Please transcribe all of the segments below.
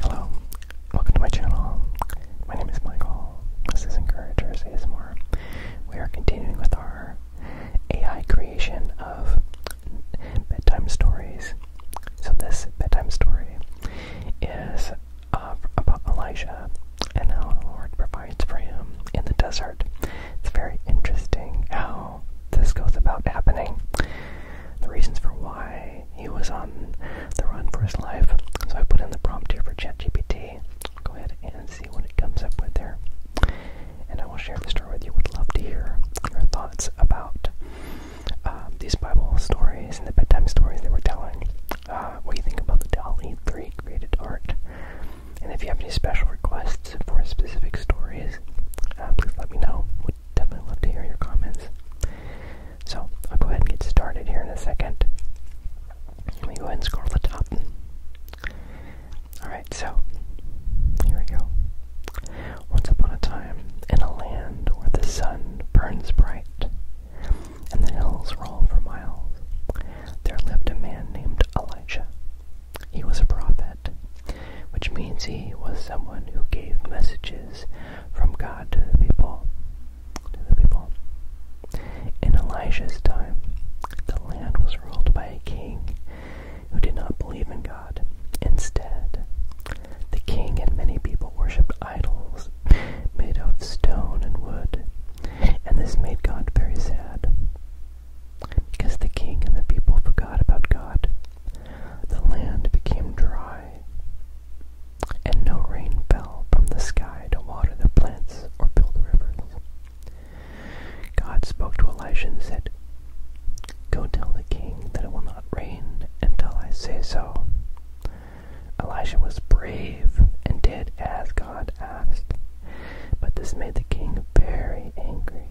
Hello, welcome to my channel. My name is Michael. This is Encouragers ASMR. We are continuing with our AI creation of bedtime stories. So this bedtime story is uh, about Elijah and how the Lord provides for him in the desert. It's very interesting how this goes about happening the reasons for why he was on the run for his life. So I put in the prompt here for ChatGPT. Go ahead and see what it comes up with there. And I will share the story with you. Would love to hear your thoughts about um, these Bible stories and the bedtime stories they were telling. Uh, what do you think about the DALI 3 created art? And if you have any special requests for specific stories, uh, please let me know definitely love to hear your comments. So I'll go ahead and get started here in a second. Let me go ahead and scroll to the top. Alright, so here we go. Once upon a time, in a land where the sun burns bright and the hills roll for miles, there lived a man named Elijah he was a prophet, which means he was someone who gave messages from God to the people. To the people. In Elijah's time, the land was ruled by a king who did not believe in God. Instead, the king and many people worshipped idols made of stone and wood, and this made God very sad. Because the king and the people forgot about God, the land became dry, and no rain fell from the sky to water the plants or build the rivers. God spoke to Elijah and said, Go tell the king that it will not rain until I say so. Elijah was brave and did as God asked. But this made the king very angry.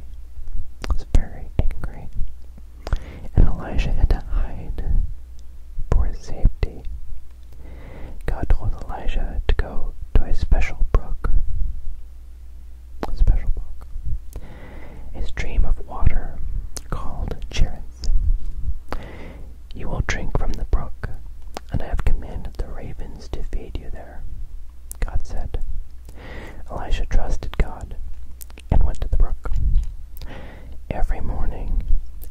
was very angry. And Elijah had to hide for his safety. God told Elijah to go to a special brook. A special brook. A stream of water called Cherith. You will drink from the brook, and I have commanded the ravens to feed you there. God said. Elisha trusted God and went to the brook. Every morning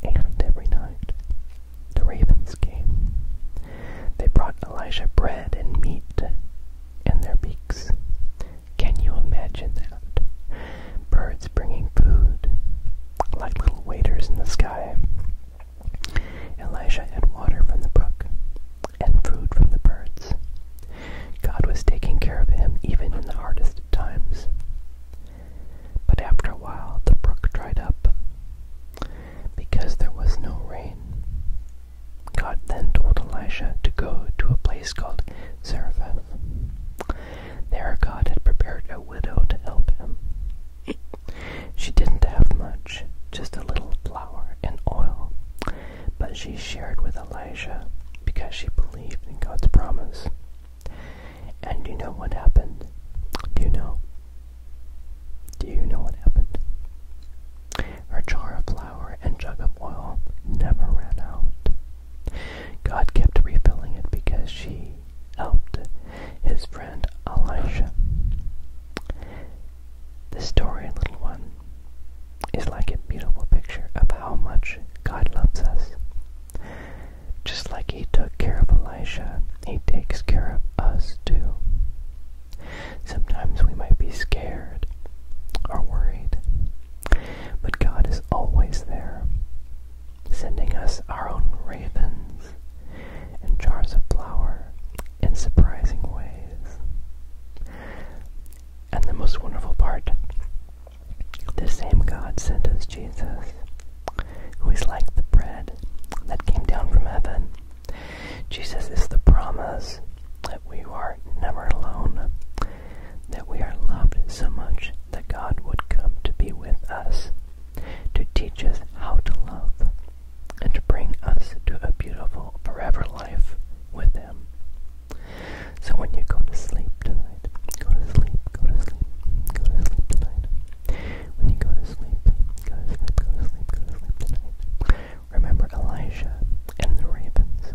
and every night, the ravens came. They brought Elisha bread and meat in their beaks. Can you imagine that? Birds bringing food, like little waiters in the sky. Elijah had water from the brook and food from the birds. God was taking care of him even in the hardest times. But after a while, the brook dried up because there was no rain. God then told Elisha to go to a place called Zarephath. There, God had prepared a widow to help him. She didn't have much, just a little flour and oil, but she shared with Elijah because she believed in God's promise. And you know what happened? Do you know? Do you know what happened? Her jar of flour and jug of oil never ran out. God kept refilling it because she helped his friend Elijah. This story, little one, is like a beautiful picture of how much God loves us. Just like He took care of Elijah, He takes care of us too. Sometimes we might be scared or worried, but God is always there sending us our own ravens and jars of flour in surprising ways. And the most wonderful part the same God sent us Jesus, who is like the bread that came down from heaven. Jesus is the promise that we are never alone, that we are loved so much that God would come to be with us, to teach us how to love, and to bring us to a beautiful forever life with Him. So when you go to sleep tonight, go to sleep, go to sleep, go to sleep tonight. When you go to sleep, go to sleep, go to sleep, go to sleep tonight. Remember Elijah and the ravens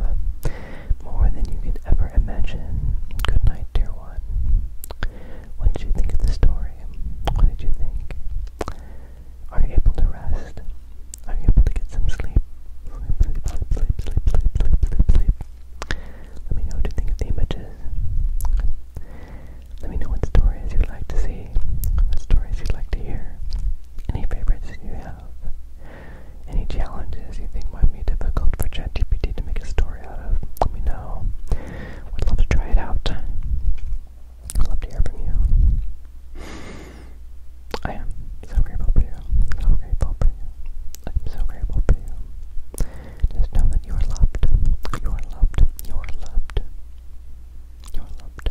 love, more than you could ever imagine. Good night, dear one. What did you think of the story? What did you think? Are you able to rest? Are you able to get some Sleep, sleep, sleep, sleep, sleep, sleep, sleep, sleep, sleep. Let me know what you think of the images. Let me know what stories you'd like to see, what stories you'd like to hear, any favorites you have. Any challenges you think might be difficult for ChatGPT to make a story out of, let me know. Would love to try it out. love to hear from you. I am so grateful for you. So grateful for you. I'm so grateful for you. Just know that you are loved. You are loved. You are loved. You are loved.